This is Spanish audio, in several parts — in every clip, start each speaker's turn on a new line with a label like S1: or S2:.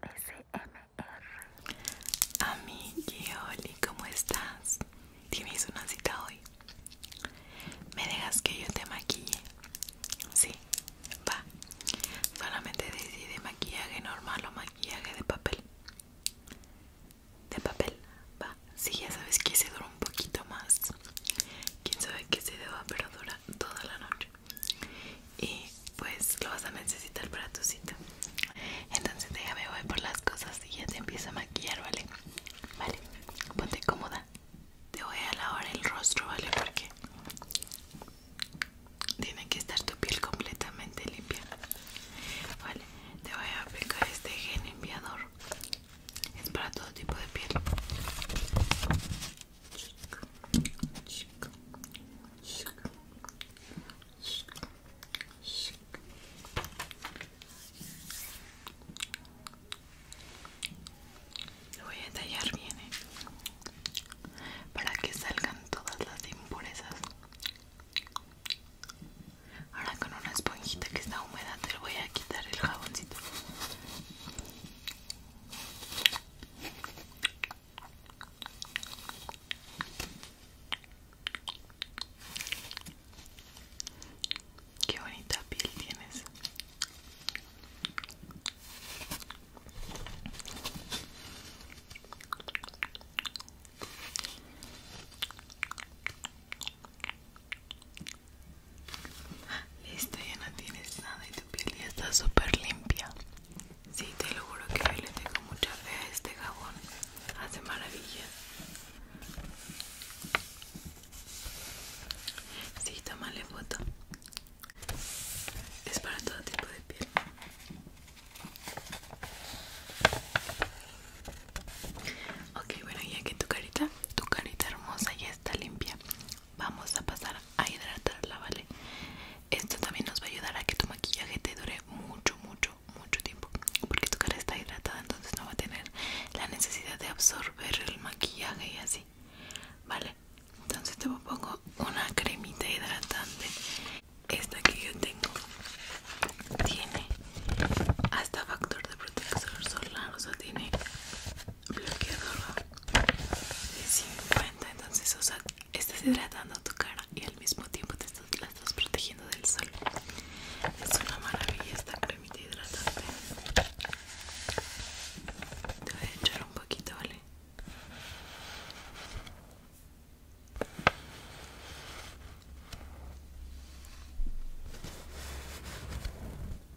S1: C-R-A-S-M-R Amiguioli, ¿cómo estás? ¿Tienes una cita hoy? ¿Me dejas que yo te maquille? Sí, va. Solamente decide maquillaje normal o maquillaje de papel. De papel, va. Sí, ya sabes que se dura un poquito más. Quién sabe que se deba, pero dura toda la noche y pues lo vas a necesitar para tu cita entonces déjame voy por las cosas y ya te empieza a maquillar vale vale ponte cómoda te voy a lavar el rostro vale porque tiene que estar tu piel completamente limpia vale te voy a aplicar este gel limpiador es para todo tipo de piel lo voy a tallar bien ¿eh? para que salgan todas las impurezas. Ahora con una esponjita que está húmeda te voy a quitar el jaboncito. Qué bonita piel tienes. Listo, ya no tienes nada y tu piel ya está súper limpia. Sí, te lo juro que yo le tengo mucha fe a este jabón. Hace maravilla. Sí, tómale foto. Es para todo tipo de piel. Ok, bueno, ya aquí tu carita, tu carita hermosa ya está limpia vamos a pasar a hidratarla, ¿vale? Esto también nos va a ayudar a que tu maquillaje te dure mucho, mucho, mucho tiempo Porque tu cara está hidratada, entonces no va a tener la necesidad de absorber el maquillaje y así ¿Vale? Entonces te pongo una cremita hidratante Esta que yo tengo tiene hasta factor de protección solar, o sea, tiene bloqueador de 50 entonces o sea estás hidratando tu cara y al mismo tiempo te estás, la estás protegiendo del sol es una maravilla esta cremita hidratante te voy a echar un poquito vale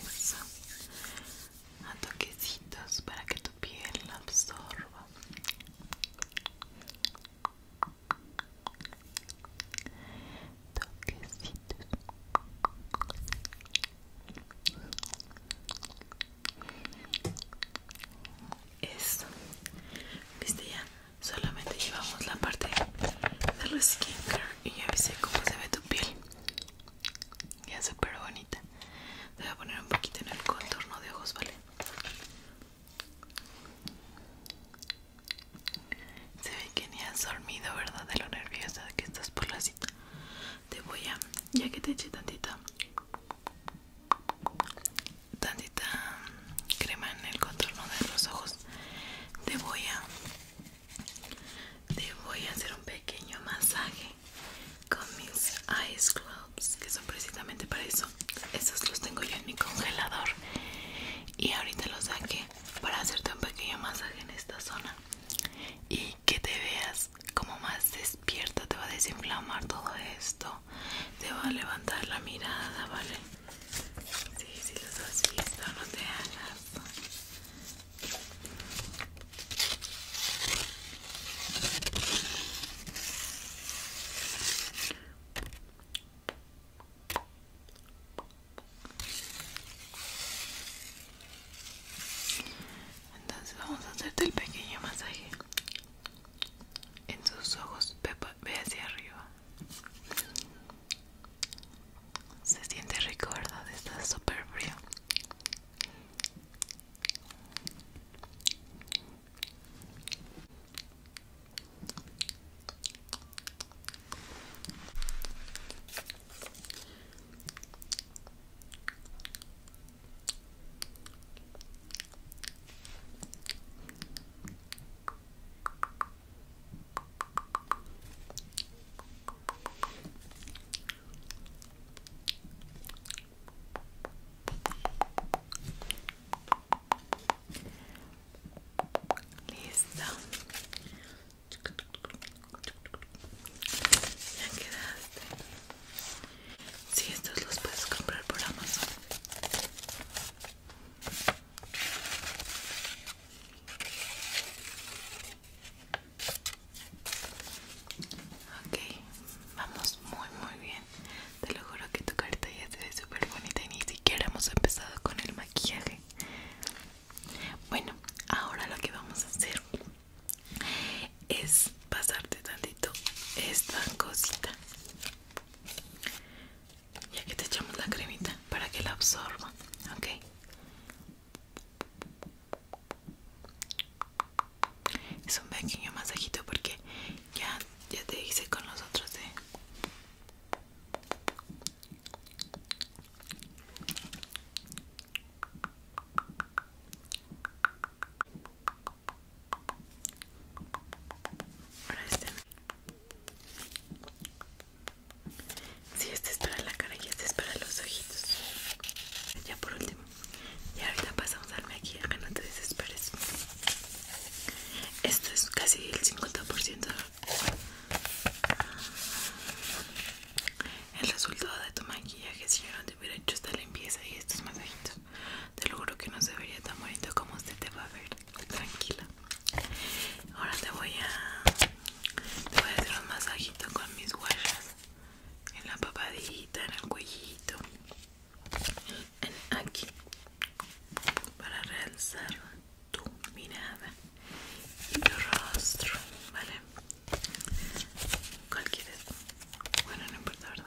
S1: eso a toquecitos para que tu piel la absorba toquecitos eso viste ya solamente llevamos la parte de los skincare y ya viste cómo se ve tu piel ya súper bonita te voy a poner un poquito en el contorno de ojos vale se ve que ni has dormido verdad de lo nerviosa que estás por la cita te voy a ya que te eché tantita tantita crema en el contorno de los ojos te voy a te voy a hacer un pequeño masaje con mis ice clubs, que son precisamente para eso. Esos los tengo yo en mi congelador. Y ahorita los saqué para hacerte un pequeño masaje en esta zona. Y que te veas como más despierta, te va a desinflamar todo esto. Te va a levantar la mirada, ¿vale? Sí, si los has visto, no te hagas. Entonces vamos a hacerte el pequeño masaje en sus ojos, ve hacia arriba. Se siente rico, ¿verdad? Está súper frío. Listo. Ya quedaste. Si sí, estos los puedes comprar por Amazon. Ok, vamos muy muy bien. Te lo juro que tu carita ya se ve súper bonita y ni siquiera hemos empezado con el maquillaje. Bueno, ahora lo que vamos a hacer es pasarte tantito esta cosita. Ya que te echamos la cremita para que la absorba, ¿ok? Es un pequeño masajito porque ya, ya te hice con los otros de... este. Si este es para la cara y este es para los ojitos. Ya por último. Y ahorita pasamos al maquillaje, no te desesperes. Esto es casi el 50%. El resultado de tu maquillaje si yo no te hubiera hecho esta limpieza y estos masajitos. Te lo juro que no se vería tan bonito como usted te va a ver. Tranquila. Ahora te voy a te voy a hacer un masajito con mis huellas en la papadita, en el cuellito, en aquí para realzar tu mirada y tu rostro, ¿vale? ¿Cuál quieres? Bueno, no importa, ¿verdad?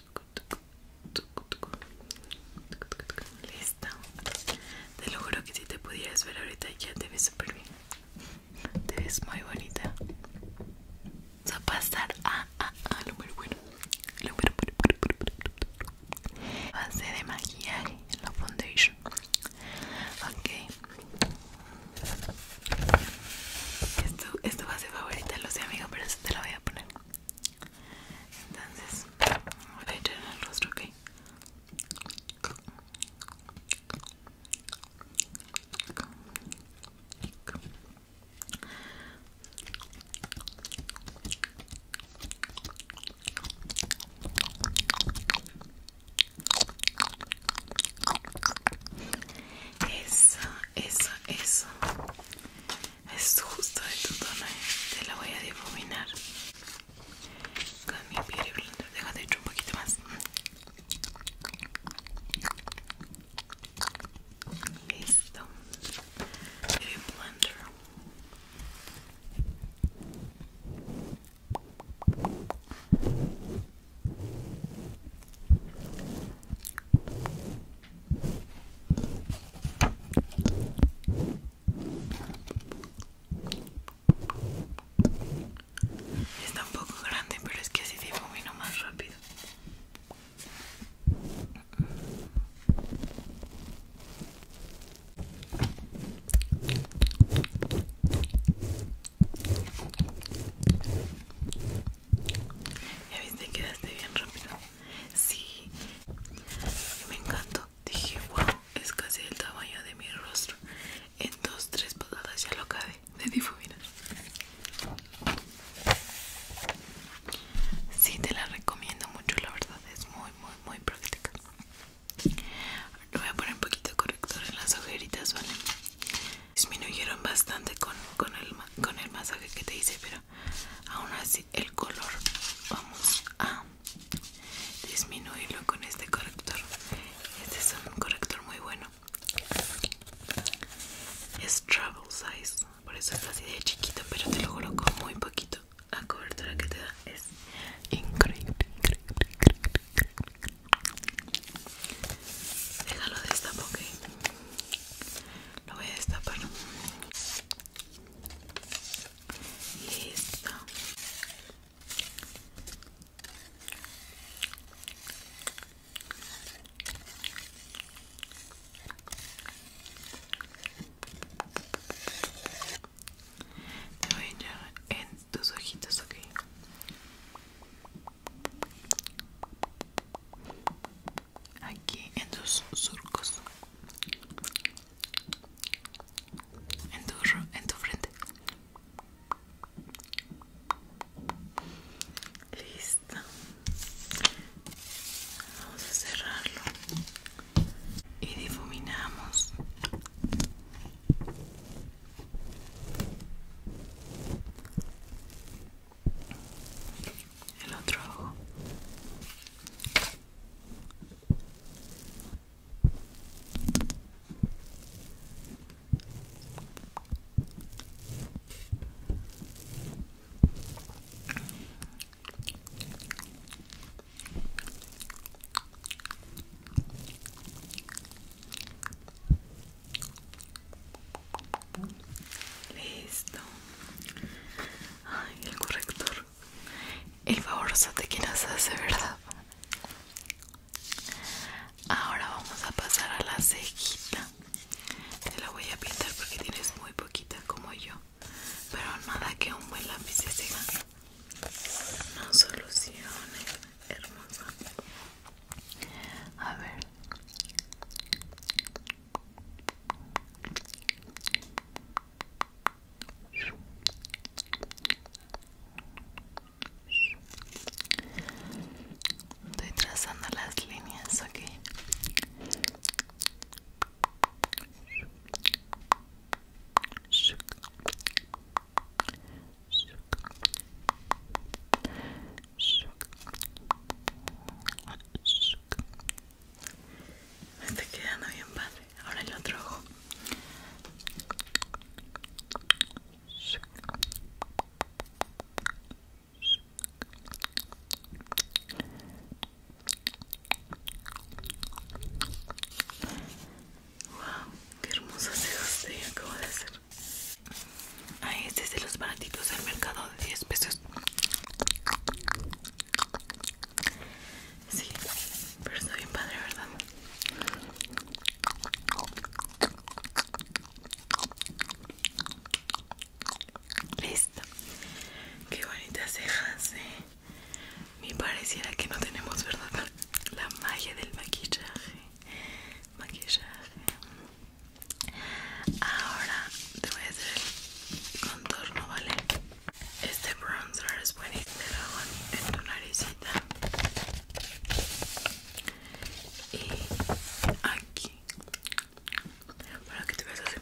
S1: Listo. Te lo juro que si te pudieras ver ahorita ya te ves súper bien. Te ves muy bonita. Vamos a pasar a, lo muy bueno. Lo de maquillaje la foundation. Ok. Esto, esto va a ser favorita, lo sé amigos pero eso te lo voy a poner. Entonces, voy a echar en el rostro, ok eso, eso. Es justo de tu tono. Eh. Te la voy a difuminar con mi Beauty Blender. Deja hecho un poquito más. Listo. Beauty Blender. Está un poco grande, pero es que así se difumino más rápido. Ya viste, quedaste bien rápido. Sí, me encantó. Dije, wow, es casi el tamaño de mi rostro. En dos, tres pasadas ya lo acabé de difuminar. Sí, te la recomiendo mucho, la verdad. Es muy, muy, muy práctica. voy a poner un poquito de corrector en las ojeritas, ¿vale? disminuyeron bastante con, el, con el masaje que te hice pero aún así el color vamos a disminuirlo con este corrector este es un corrector muy bueno es travel size por eso es así de chiquito pero te lo juro muy poquito la cobertura que te da es increíble. Déjalo destapar, ok. Lo voy a destapar. Listo. Te voy a echar en tus ojitos, ok aquí en tus surcos en tu, en tu frente listo vamos a cerrarlo y difuminamos el otro Listo. Ay, el corrector. El favorzote te que nos hace, ¿verdad? Ahora vamos a pasar a la cejita. Te la voy a pintar porque tienes muy poquita como yo. Pero nada que un buen lápiz de cega. No solucione, hermosa. A ver. Estoy trazando las líneas aquí. Me está quedando bien padre. Ahora el otro ojo. Wow, qué hermoso se te acabo de hacer a ah, este es de los baratitos del mercado de 10 pesos sí pero está bien padre verdad listo qué bonitas cejas ¿eh? me pareciera que no tenemos verdad la magia del maquillaje maquillaje Ahora te voy a hacer el contorno, ¿vale? Este bronzer es buenísimo. Te lo hago en tu naricita. Y aquí. Para que te veas hacer.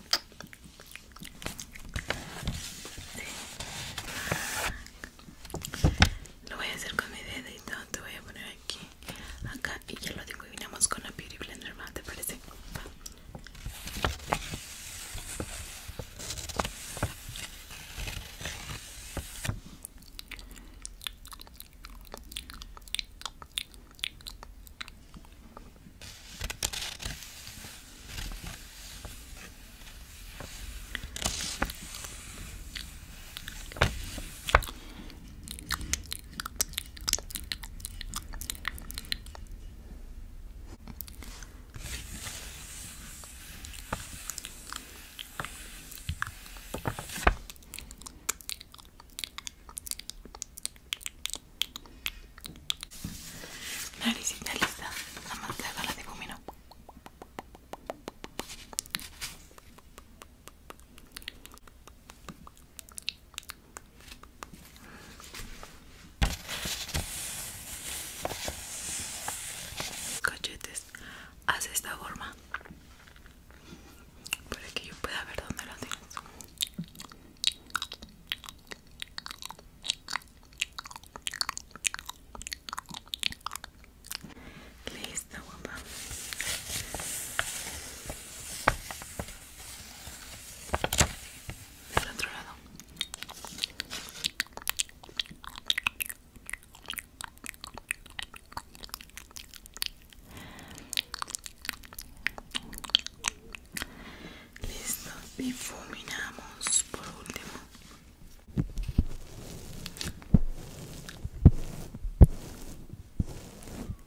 S1: Sí. Lo voy a hacer con mi dedito. Te voy a poner aquí, acá y ya lo adivinamos con la Beauty Blender, ¿Te parece? Naricita lista, vamos a le la difumino. Cachetes, haz esta forma para que yo pueda ver dónde lo tienes. Listo, guapa otro lado listo difuminamos por último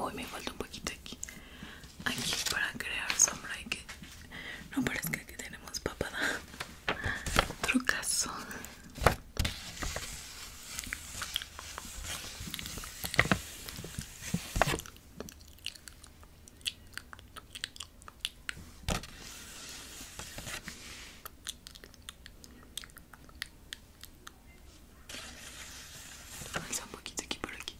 S1: Uy, me falta un poquito aquí. Aquí para crear sombra Y que... No parezca que tenemos papada. Trucazo. Avanza un poquito aquí por aquí.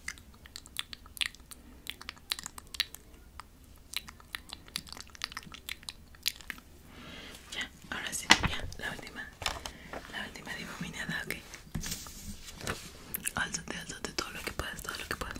S1: Ya, ahora sí, ya, la última. La última difuminada, ok. Álzate, álzate todo lo que puedas, todo lo que puedas.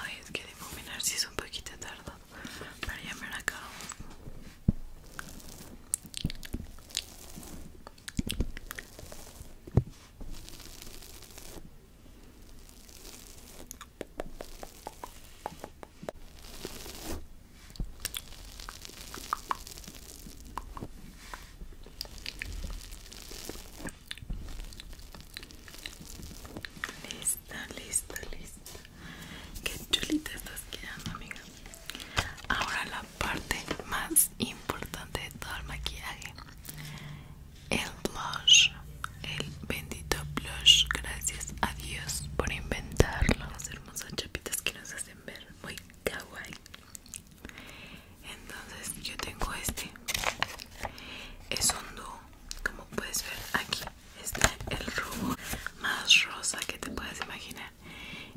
S1: Ay, es que difuminarse si es un poquito tardo, pero ya me la acabo. Listo, listo, listo Qué chulita estás quedando, amiga. Ahora la parte más importante de todo el maquillaje. El blush. El bendito blush. Gracias a Dios por inventarlo. Las hermosas chapitas que nos hacen ver muy kawaii entonces yo tengo este es un dúo. como puedes ver aquí está el rubor más rosa que te puedes imaginar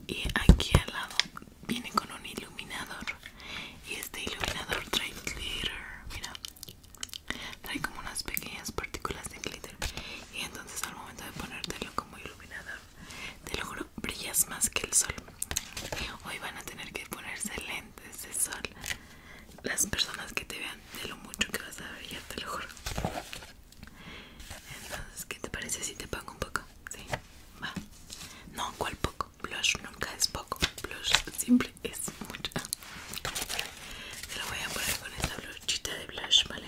S1: y aquí al lado viene con un iluminador y este iluminador trae glitter mira trae como unas pequeñas partículas de glitter y entonces al momento de ponértelo como iluminador te lo brillas más que el sol. Hoy van a tener que ponerse lentes de sol. Las personas que te vean de lo mucho que vas a brillar, te lo juro. Entonces, ¿qué te parece si te pongo un poco? Sí, va. No, ¿cuál poco? Blush nunca es poco. Blush siempre es mucho. se lo voy a poner con esta bluchita de blush, ¿vale?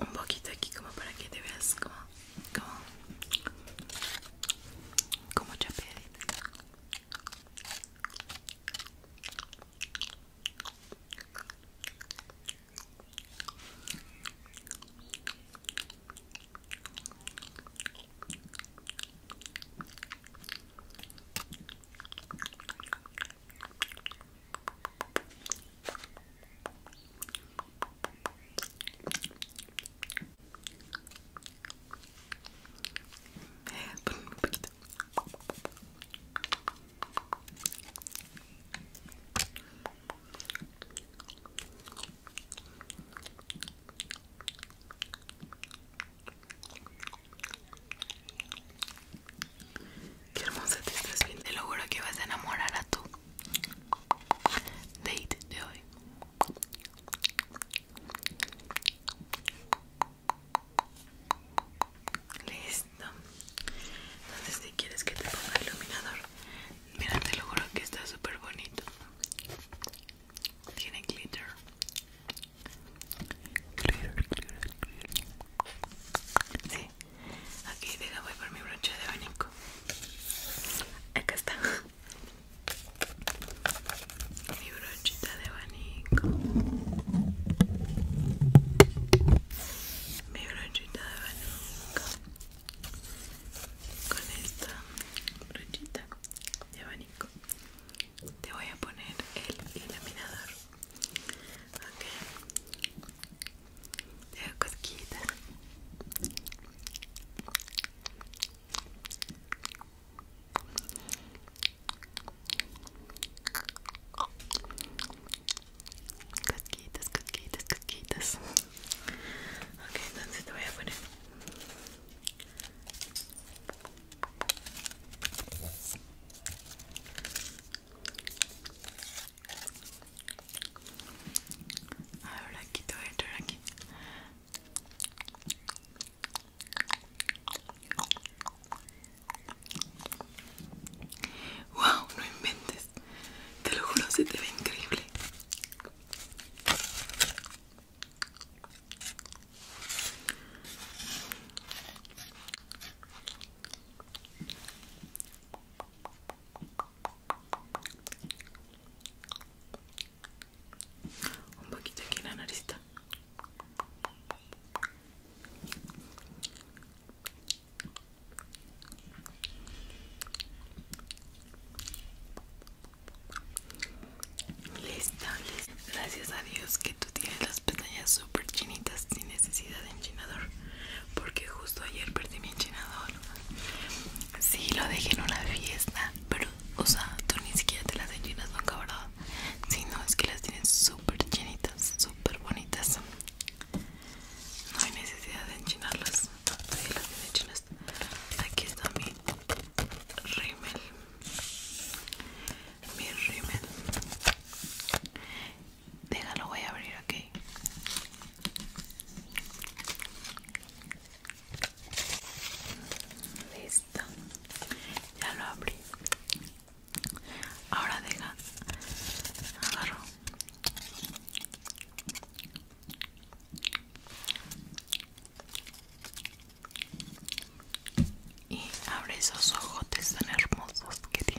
S1: Un poquito aquí como para que te veas como como te Qué hermosa te estás viendo. Te lo juro que vas a enamorar a tu date de hoy. Listo. Entonces si quieres que te ponga iluminador, mira te lo juro que está súper bonito. Tiene glitter. Glitter, glitter, glitter. Sí. Aquí voy por mi broche de abanico. Acá está mi brochita de abanico mi brochita de abanico con esta brochita de abanico te voy a poner el iluminador ok te hago Casquitas, casquitas, casquitas. Ok, entonces te voy a poner. Ahora ver, aquí te voy aquí. Wow, no inventes. Te lo juro, se te ve increíble un poquito aquí en la nariz Listo Gracias a Dios que tú tienes las pestañas súper chinitas sin necesidad de enchinador. Porque justo ayer perdí mi enchinador si Sí, lo dejé en una fiesta, pero, o sea, tú ni siquiera te las enchinas nunca, ¿verdad? Sino no, es que las tienes súper llenitas, súper bonitas. No hay necesidad de enchinarlas. Aquí está mi rímel. Mi rímel. Déjalo, voy a abrir, ok. Listo. Ya lo abrí. Ahora deja. Agarro. Y abre esos ojotes tan hermosos que tiene.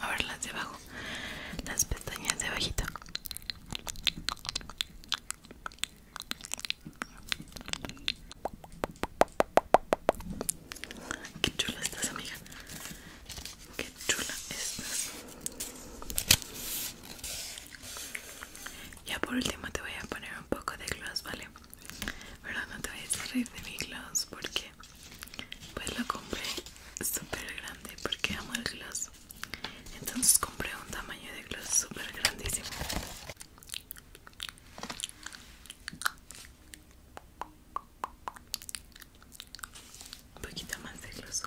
S1: a ver las de abajo las pestañas de abajito qué chula estás amiga qué chula estás ya por último te voy a poner un poco de gloss vale Pero no te vayas a reír de mi gloss porque pues lo compré súper grande porque amo el gloss entonces compré un tamaño de gloss súper grandísimo un poquito más de gloss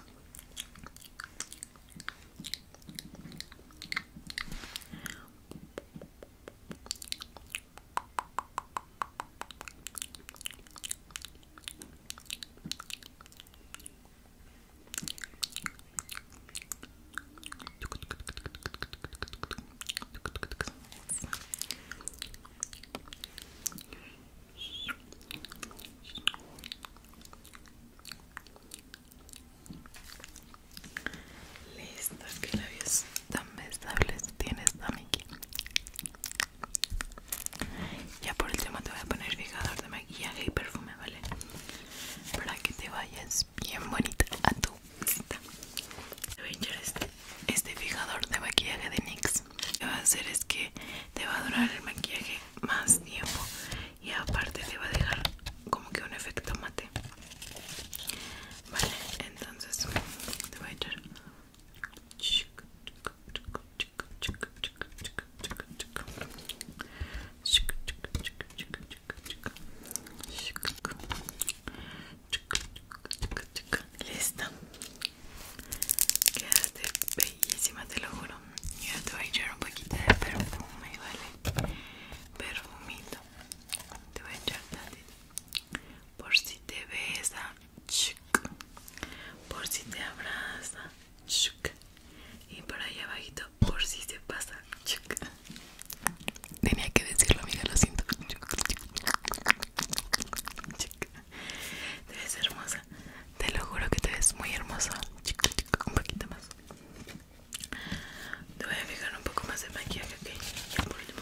S1: Listo, que labios tan besables tienes, amigui. Ya por el tema te voy a poner fijador de maquillaje y perfume, ¿vale? Para que te vayas bien bonita a tu visita. este, este fijador de maquillaje de NYX. Lo que va a hacer es que te va a durar el maquillaje más tiempo y aparte te va a dejar como que un efecto mate. Vale, entonces te voy a echar Listo. Quedaste bellísima, te lo juro. Ya te voy a echar un poquito de perfume, ¿vale? Perfumito. Te voy a echar Por si te besa por si te abraza y por ahí abajito por si se pasa tenía que decirlo amiga lo siento te ves hermosa te lo juro que te ves muy hermosa un poquito más te voy a fijar un poco más de maquillaje, que Ya por último.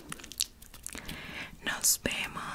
S1: Nos vemos.